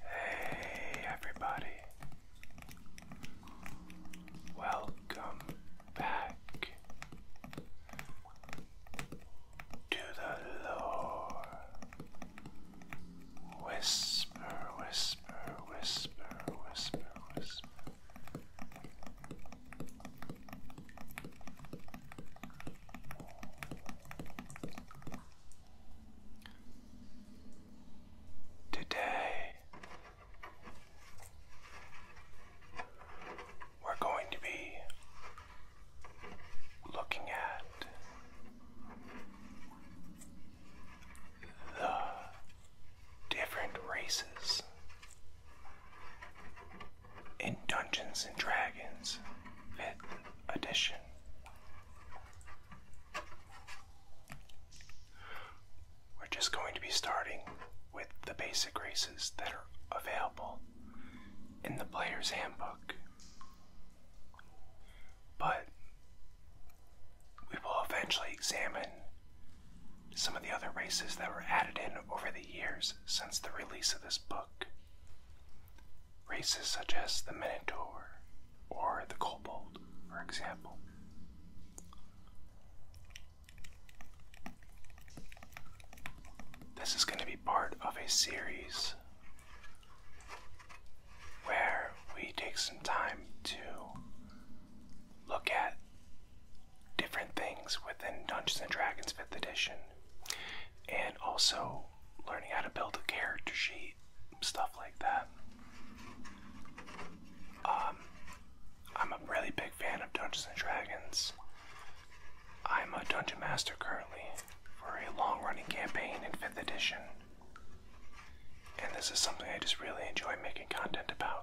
Hey, everybody, welcome back to the lore. Whisper, whisper, whisper, whisper, whisper. Today, we're going to be looking at the different races in Dungeons and Dragons 5th edition. We're just going to be starting with the basic races that are available in the Player's Handbook. But we will eventually examine some of the other races that were added in over the years since the release of this book. Races such as the Minotaur or the Kobold, for example. This is going to be part of a series where we take some time to look at different things within Dungeons and Dragons 5th edition, and also learning how to build a character sheet, stuff like that. Um, I'm a really big fan of Dungeons and Dragons. I'm a dungeon master currently for a long running campaign in 5th edition. And this is something I just really enjoy making content about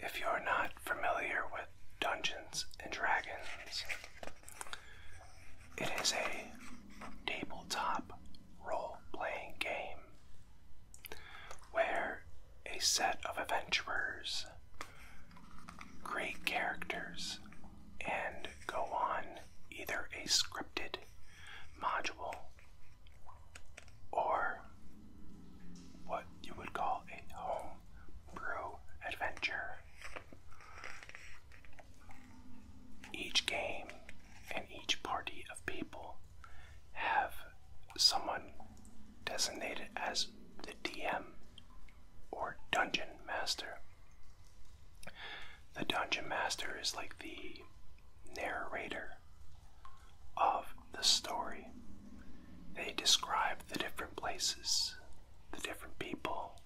If you're not familiar with Dungeons and Dragons, it is a tabletop role playing game where a set of adventurers create characters and go on either a scripted module or what you would call a home brew adventure each game and each party of people have someone designated as the DM or Dungeon Master. The Dungeon Master is like the narrator of the story. They describe the different places, the different people.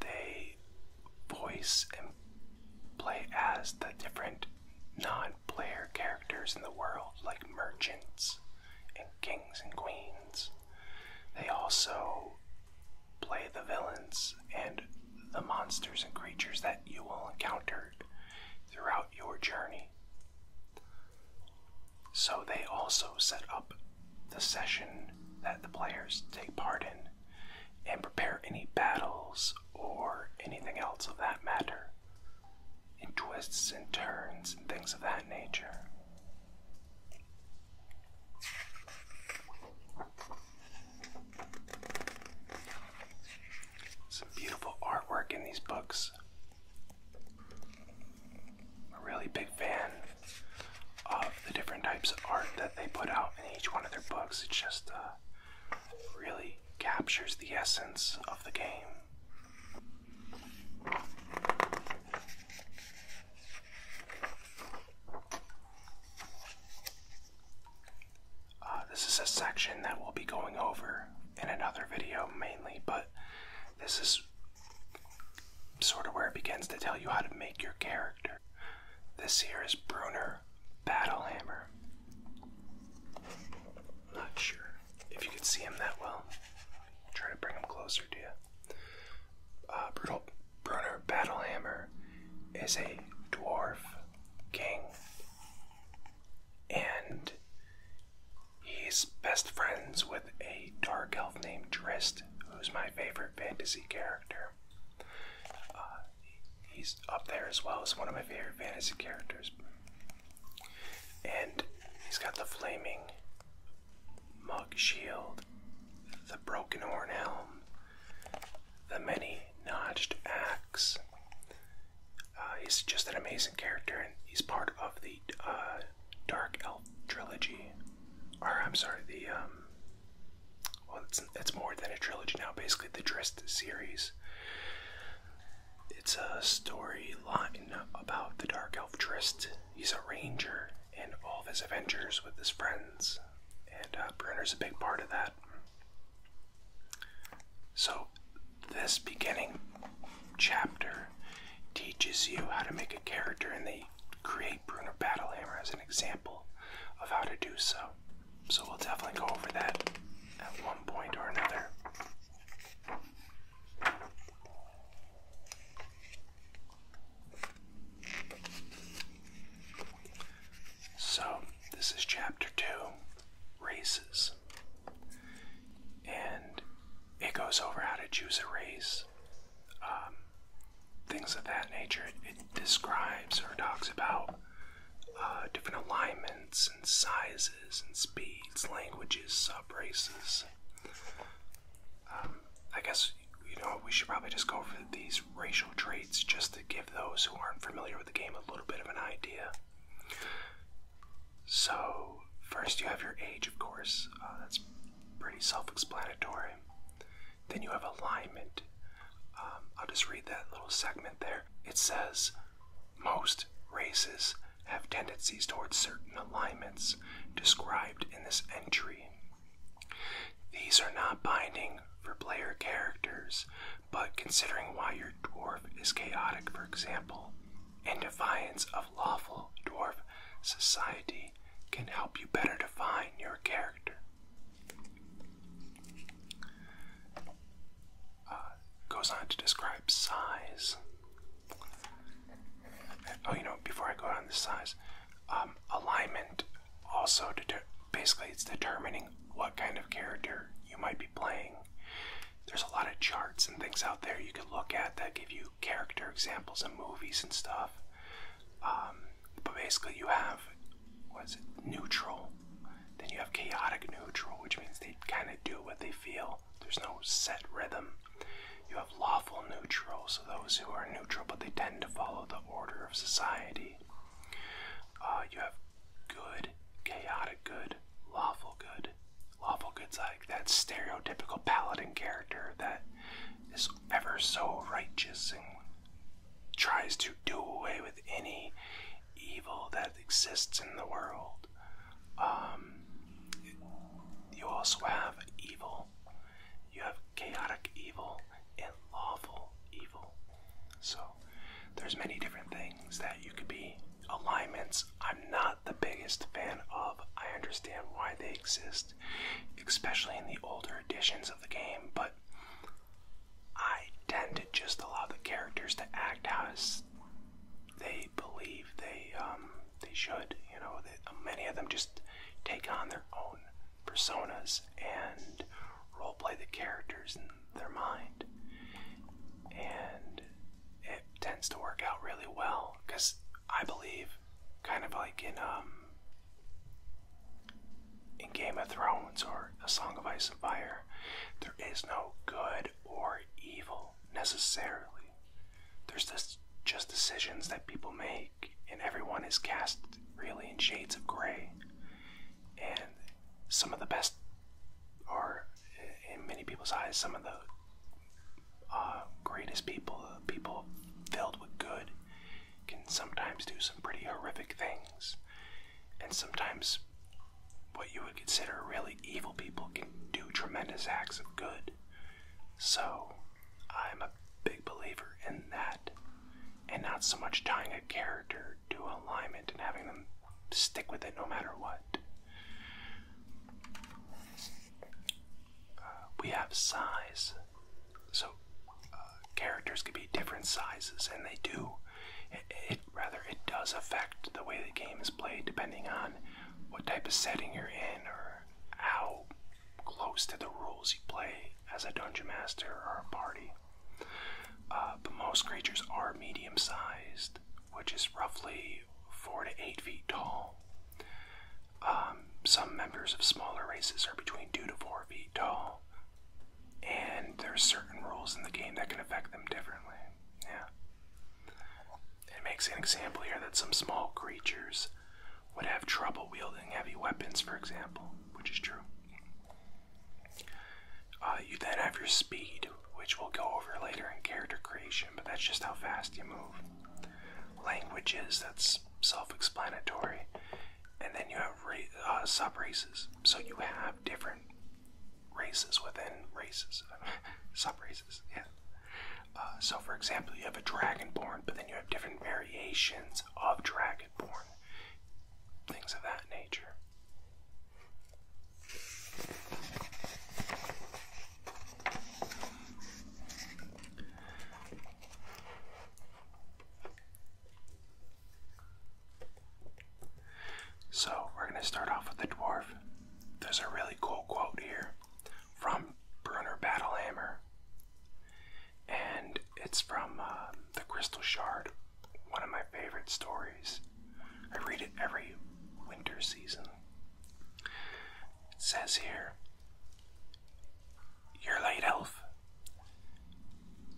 They voice and play as the different non-player characters in the world like merchants and kings and queens. They also play the villains and the monsters and creatures that you will encounter throughout your journey. So they also set up the session that the players take part in and prepare any battles or anything else of that matter, in twists and turns and things of that nature. Some beautiful artwork in these books. a really big fan of the different types of art that they put out in each one of their books. It just uh, really captures the essence of the game. Uh, this is a section that we'll be going over in another video mainly, but this is sort of where it begins to tell you how to make your character. This here is Bruner hammer, not sure if you can see him that well. Try to bring him closer to you. Uh, Brutal Brunner Battlehammer is a dwarf king, and he's best friends with a dark elf named Trist, who's my favorite fantasy character. Uh, he's up there as well as one of my favorite fantasy characters. And he's got the flaming mug shield, the broken horn helm, the many notched axe. Uh, he's just an amazing character, and he's part of the uh, Dark Elf trilogy or I'm sorry, the um, well, it's it's more than a trilogy now. Basically, the Dressed series. It's a storyline about the Dark Elf Drist. He's a ranger, and all of his adventures with his friends, and uh, is a big part of that. So, this beginning chapter teaches you how to make a character in the create Bruner Battlehammer as an example of how to do so. So we'll definitely go over that at one point or another. So, this is chapter two races. And it goes over how to choose a race, um, things of that nature. It, describes or talks about uh, different alignments and sizes and speeds, languages, subraces. Um, I guess you know we should probably just go over these racial traits just to give those who aren't familiar with the game a little bit of an idea. So first, you have your age, of course. Uh, that's pretty self-explanatory. Then you have alignment. Um, I'll just read that little segment there. It says, most races have tendencies towards certain alignments described in this entry. These are not binding for player characters, but considering why your dwarf is chaotic, for example, and defiance of lawful dwarf society can help you better define your character. Uh, goes on to describe size. Oh, you know, before I go on the size, um, alignment also basically it's determining what kind of character you might be playing. There's a lot of charts and things out there you can look at that give you character examples and movies and stuff. Um, but basically, you have what is it? Neutral. Then you have chaotic neutral, which means they kind of do what they feel. There's no set rhythm. You have lawful neutral, so those who are neutral but they tend to follow the order of society. Uh, you have good, chaotic good, lawful good. Lawful good's like that stereotypical paladin character that is ever so righteous and tries to do away with any evil that exists in the world. Um, you also have evil. You have chaotic evil and lawful evil. So there's many different things that you could be alignments. I'm not the biggest fan of. I understand why they exist especially in the older editions of the game, but I tend to just allow the characters to act as they believe they um, they should. You know, many of them just take on their own personas and role play the characters in their mind, and it tends to work out really well because I believe kind of like in um, in Game of Thrones or A Song of Ice and Fire. There is no good or evil necessarily. There's just just decisions that people make, and everyone is cast really in shades of gray. And some of the best are, in many people's eyes, some of the uh, greatest people, people filled with good can sometimes do some pretty horrific things. And sometimes what you would consider really evil people can do tremendous acts of good. So I'm a big believer in that. And not so much tying a character to alignment and having them stick with it no matter what. Uh, we have size so uh, characters can be different sizes, and they do. It, rather it does affect the way the game is played, depending on what type of setting you're in, or how close to the rules you play as a dungeon master or a party. Uh, but most creatures are medium-sized, which is roughly four to eight feet tall. Um, um, some members of smaller races are between two to four feet tall, and there are certain rules in the game that can affect them differently. Yeah. It makes an example here that some small creatures would have trouble wielding heavy weapons, for example, which is true. Uh, you then have your speed, which we'll go over later in character creation, but that's just how fast you move. Languages, that's self-explanatory. And then you have uh, sub races, so you have different races within races, sub races. Yeah. Uh, so, for example, you have a dragonborn, but then you have different variations of dragonborn, things of that nature. So, we're going to start off with the dwarf. There's a really cool quote here from Bruner Battlehammer, and it's from uh, The Crystal Shard, one of my favorite stories. I read it every winter season. It says here your late elf.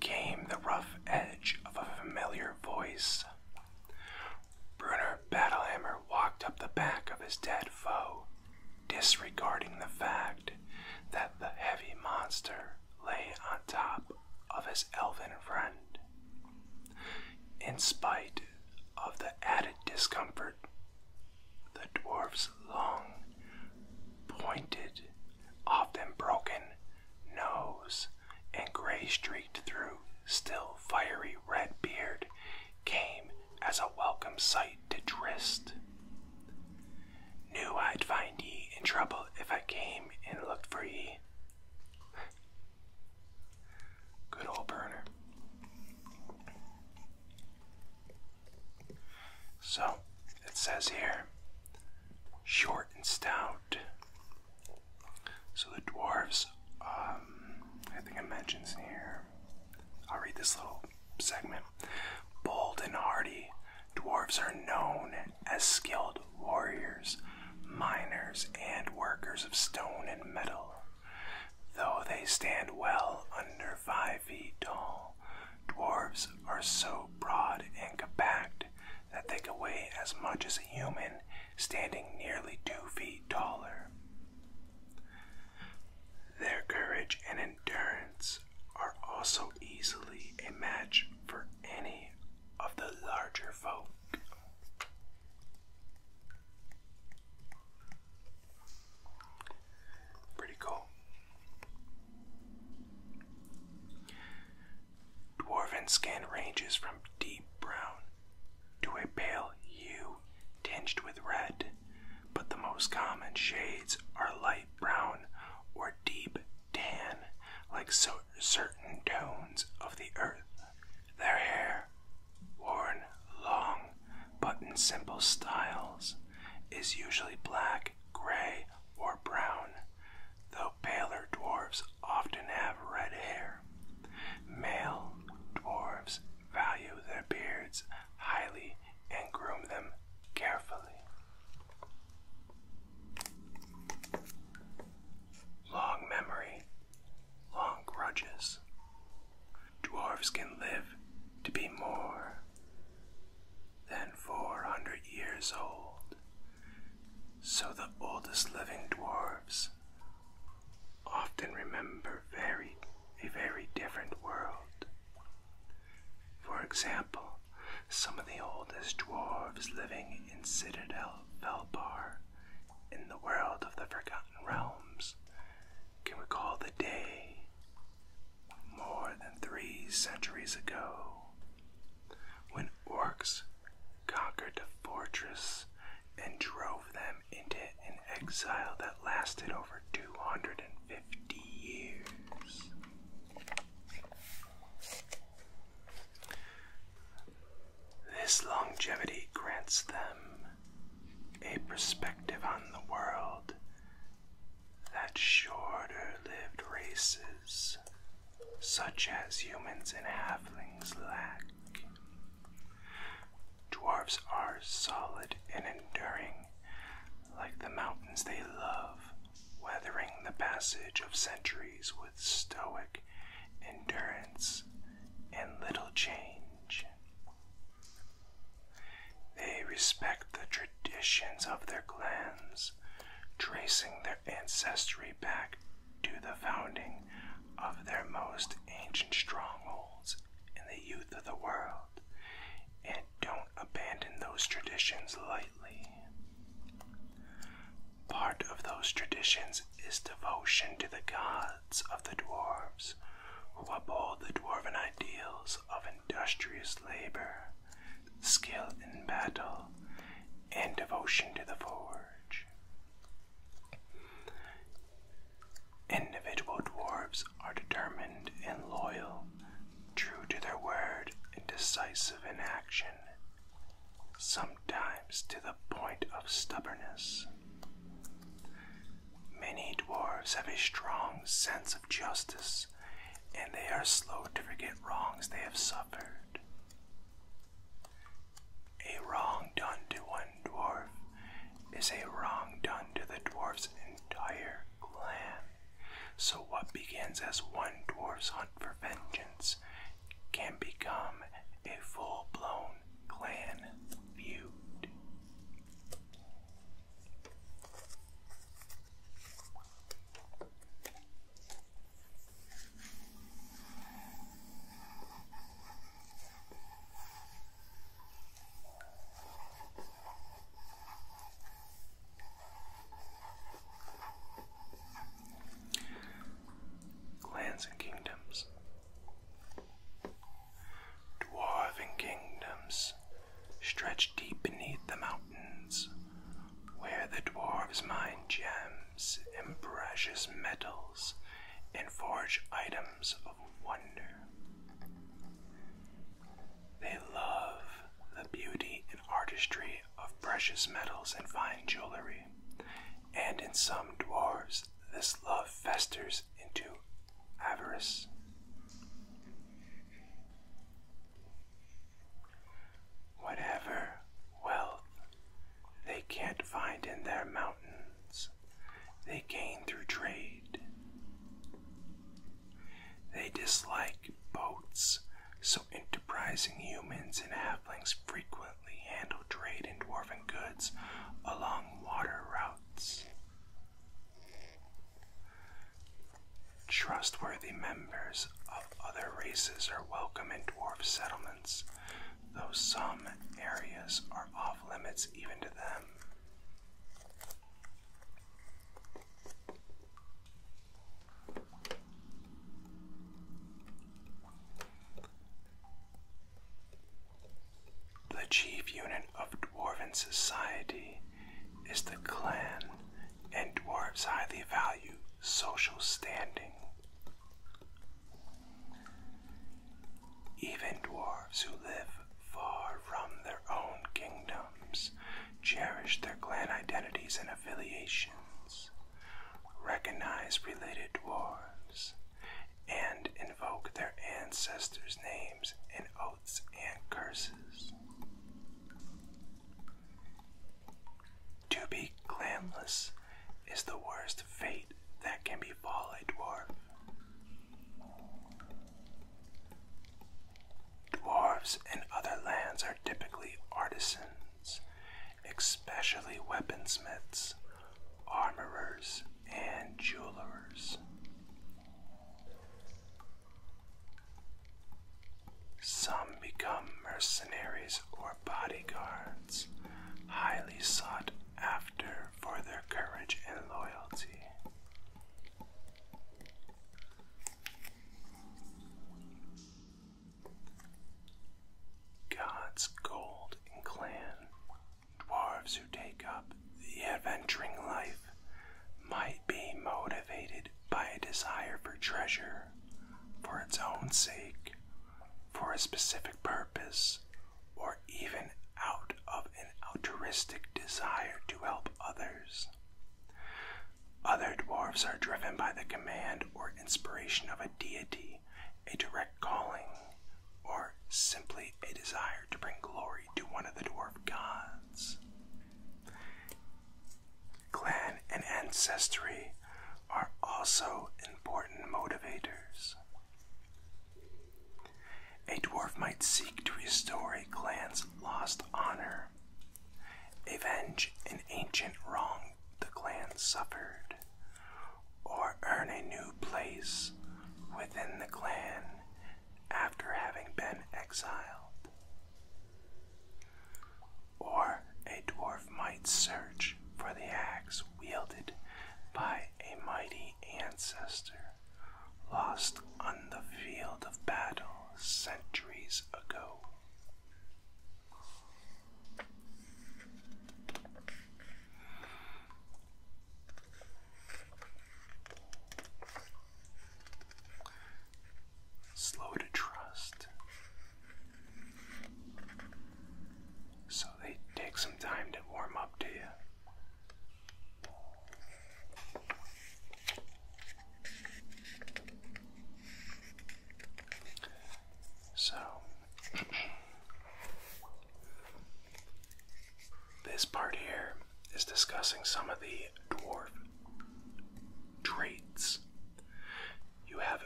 Came the rough edge of a familiar voice. Bruner Battlehammer walked up the back of his dead foe, disregarding the fact that the heavy monster lay on top of his elven friend. In spite of the added discomfort the dwarf's long, pointed, often broken nose and gray streaked through still fiery red beard came as a welcome sight to Drist. Knew I'd find ye in trouble if I came and looked for ye. Good old burner. So it says here short and stout. So the dwarves, um, I think it mentions here, I'll read this little segment. Bold and hardy, dwarves are known as skilled warriors, miners, and workers of stone and metal. Though they stand well under five feet tall, dwarves are so broad and compact that they can weigh as much as a human, standing nearly two feet taller. Their courage and endurance are also easily a match for any of the larger folk. Pretty cool. Dwarven skin ranges from deep brown to a pale hue tinged with red, but the most common shades are light brown or deep tan, like certain tones of the earth. Their hair, worn long but in simple styles, is usually black, gray, or brown, though paler dwarves often have red hair. Male dwarves value their beards highly and groom them carefully. Long memory, long grudges dwarves can live to be more than 400 years old. So the oldest living dwarves often remember very a very different world. For example, some of the oldest dwarves living in Citadel Felbar in the world of the Forgotten Realms can recall the day more than three centuries ago when orcs conquered the fortress and drove them into an exile that lasted over 250 years. This longevity grants them a perspective on the world that shorter lived races, such as humans and halflings, lack. Dwarves are solid and enduring, like the mountains they love, weathering the passage of centuries with stoic endurance and little change. They respect the traditions of their clans, tracing their ancestry back to the founding of their most ancient strongholds in the youth of the world, and don't abandon those traditions lightly. Part of those traditions is devotion to the gods of the dwarves, who uphold the dwarven ideals of industrious labor, skill in battle, and devotion to the forge. Individual dwarves are determined and loyal, true to their word and decisive in action, sometimes to the point of stubbornness. Many dwarves have a strong sense of justice, and they are slow to forget wrongs they have suffered. A wrong done to one dwarf is a wrong done to the dwarf's entire clan. So, what begins as one dwarf's hunt for vengeance can become a full blown clan feud. Lands and Kingdoms. Dwarven kingdoms stretch deep beneath the mountains, where the dwarves mine gems and precious metals and forge items of wonder. They love the beauty and artistry of precious metals and fine jewelry, and in some dwarves, this love festers into avarice. Whatever wealth they can't find in their mountains, they gain through trade. They dislike boats, so enterprising humans and halflings frequently handle trade in dwarven goods along water routes. Trustworthy members of other races are welcome in dwarf settlements, though some areas are off limits even to them. The chief unit of dwarven society is the clan, and dwarves highly value social standing. Even dwarves who live far from their own kingdoms cherish their clan identities and affiliations. Recognize related dwarves and invoke their ancestors' names in oaths and curses. To be clanless is the worst fate that can befall a dwarf. Dwarves in other lands are typically artisans, especially weaponsmiths, armorers, and jewelers. Some become mercenaries or bodyguards, highly sought after for their courage and loyalty. God's Gold Clan Dwarves who take up the adventuring life might be motivated by a desire for treasure for its own sake, for a specific purpose, or even out of an altruistic desire to help others. Other dwarves are driven by the command or inspiration of a deity a direct calling or simply a desire to bring glory to one of the dwarf gods. Clan and ancestry are also important motivators. A dwarf might seek to restore a clan's lost honor, avenge an ancient wrong the clan suffered, or earn a new place within the clan after having been exiled. Or a dwarf might search for the axe wielded by a mighty ancestor lost on the field of battle centuries ago. Slow to trust. So they take some time to warm up to you. So This part here is discussing some of the dwarf traits. You have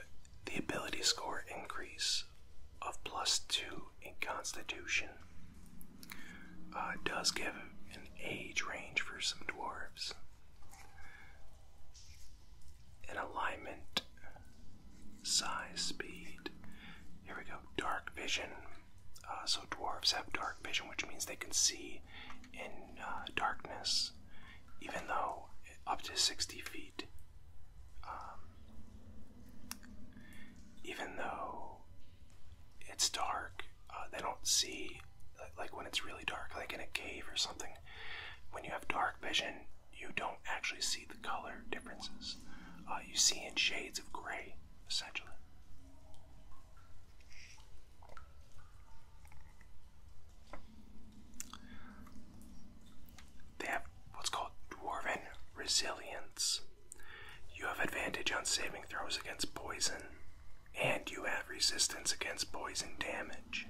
the ability score increase of plus two in constitution. Uh, does give an age range for some dwarves. An alignment, size, speed, here we go. Dark vision. Uh, so dwarves have dark vision, which means they can see in uh, darkness, even though up to 60 feet. Um, even though it's dark, uh, they don't see like when it's really dark, like in a cave or something. When you have dark vision, you don't actually see the color differences. Uh, you see in shades of gray, essentially. They have what's called dwarven resilience. You have advantage on saving throws against poison, and you have resistance against poison damage.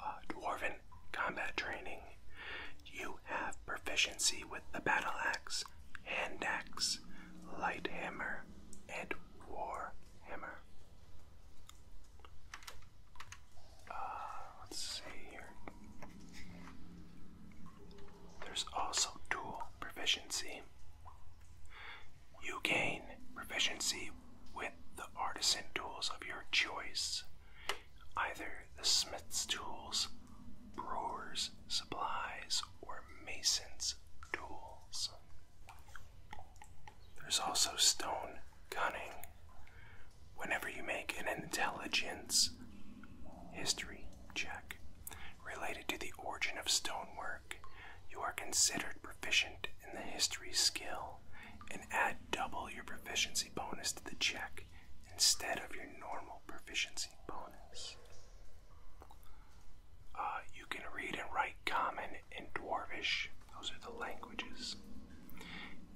Uh, dwarven combat training. You have proficiency with the battle axe, hand axe, light hammer, and war hammer. Uh, let's see here. There's also dual proficiency. You gain proficiency with the artisan tools of your choice either the smith's tools, brewer's supplies, or mason's tools. There's also stone cunning. Whenever you make an intelligence history check related to the origin of stonework, you are considered proficient in the history skill and add double your proficiency bonus to the check instead of your normal proficiency bonus. Uh, you can read and write Common and Dwarvish, those are the languages.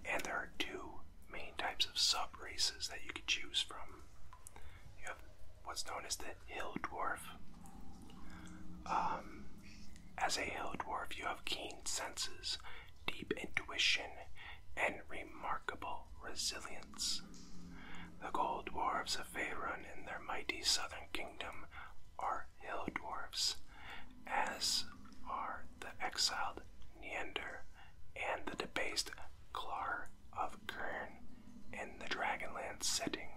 And there are two main types of sub races that you can choose from. You have what's known as the Hill Dwarf. Um, as a Hill Dwarf, you have keen senses, deep intuition, and remarkable resilience. The gold dwarves of Faerun and their mighty southern kingdom are hill dwarves, as are the exiled Neander and the debased Klar of Kern in the Dragonland setting.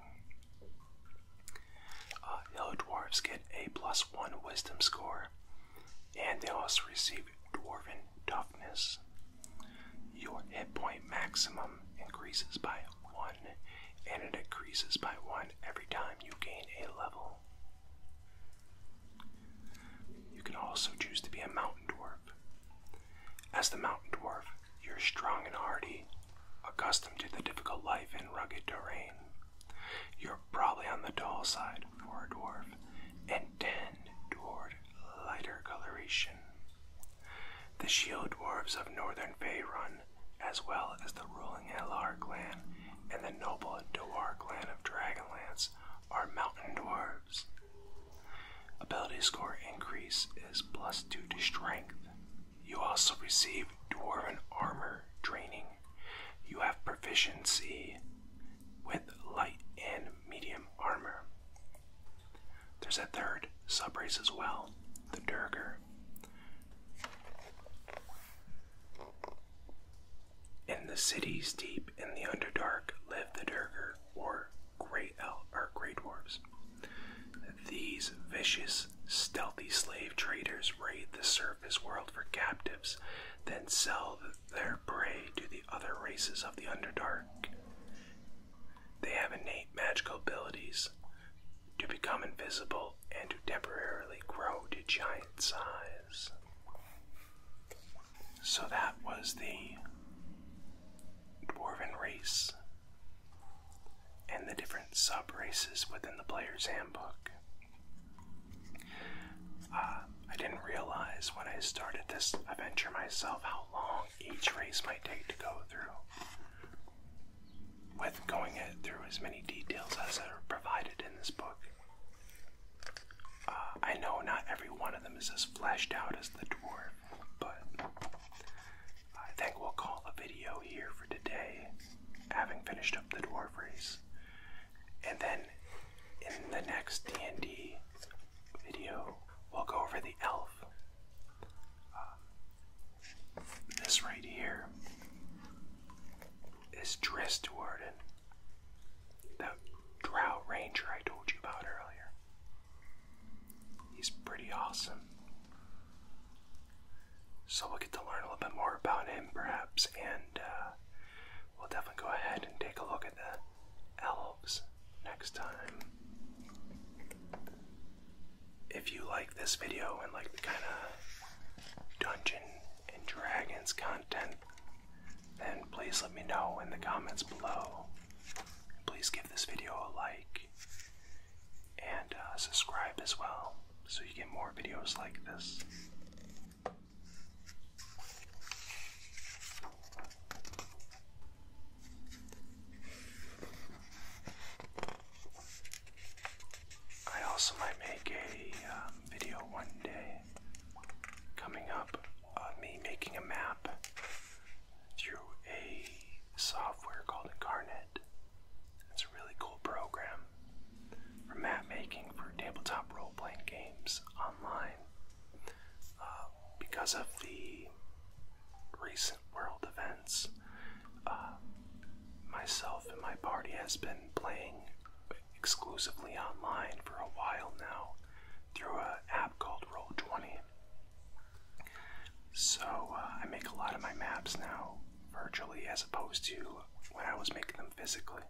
Uh, hill dwarves get a plus one wisdom score and they also receive Dwarven Toughness. Your hit point maximum increases by 1, and it increases by 1 every time you gain a level. You can also choose to be a Mountain Dwarf. As the Mountain Dwarf, you're strong and hardy, accustomed to the difficult life in rugged terrain. You're probably on the tall side for a dwarf and tend toward lighter coloration. The shield dwarves of northern Faerun, as well as the ruling Elar clan and the noble Dwar clan of Dragonlance, are mountain dwarves. Ability score increase is plus 2 to strength. You also receive dwarven armor training you have proficiency with light and medium armor. There's a third subrace as well, the Durger. In the cities deep in the Underdark live the Durger, or Grey Elk, or Grey Dwarves. These vicious, stealthy slave traders raid the surface serve his world for captives, then sell their prey to the other races of the Underdark. They have innate magical abilities to become invisible and to temporarily grow to giant size. So that was the Dwarven race and the different sub races within the player's handbook. Uh, I didn't realize when I started this adventure myself how long each race might take to go through. With going through as many details as are provided in this book. Uh, I know not every one of them is as fleshed out as the dwarf, but I think we'll call the video here for today, having finished up the dwarf race. And then in the next D&D video, we'll go over the elf. Um, this right here is Dristwarden, the Drow Ranger I told you about earlier. He's pretty awesome so we'll get to learn a little bit more about him, perhaps, and uh, we'll definitely go ahead and take a look at the elves next time. If you like this video and like the kind of Dungeon and Dragons content, then please let me know in the comments below. Please give this video a like and uh, subscribe as well so you get more videos like this. I also might make a um, video one day coming up of uh, me making a map through a software called Incarnate. It's a really cool program for map making for tabletop role playing games online. Uh, because of the recent world events, uh, myself and my party has been playing exclusively online for a while now through an app called Roll20. So uh, I make a lot of my maps now virtually as opposed to when I was making them physically.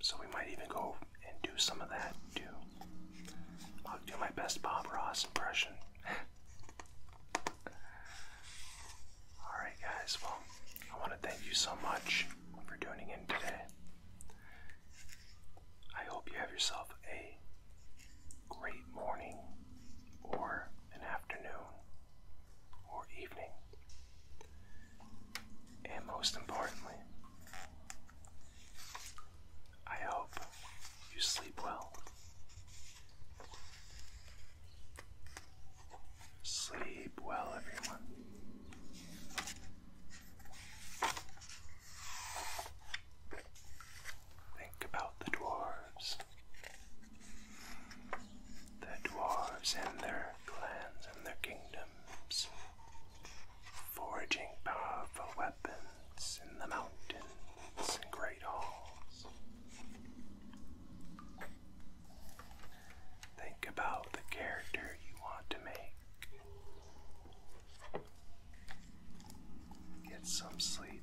So we might even go and do some of that too. I'll do my best Bob Ross impression. Alright, guys, well, I want to thank you so much for tuning in today. I hope you have yourself a great morning or an afternoon or evening. And most importantly, I hope you sleep well. Sleep well, everyone. Think about the dwarves. The dwarves and their clans and their kingdoms, forging powerful weapons in the mountains and great halls. Think about the character you want to make. Get some sleep.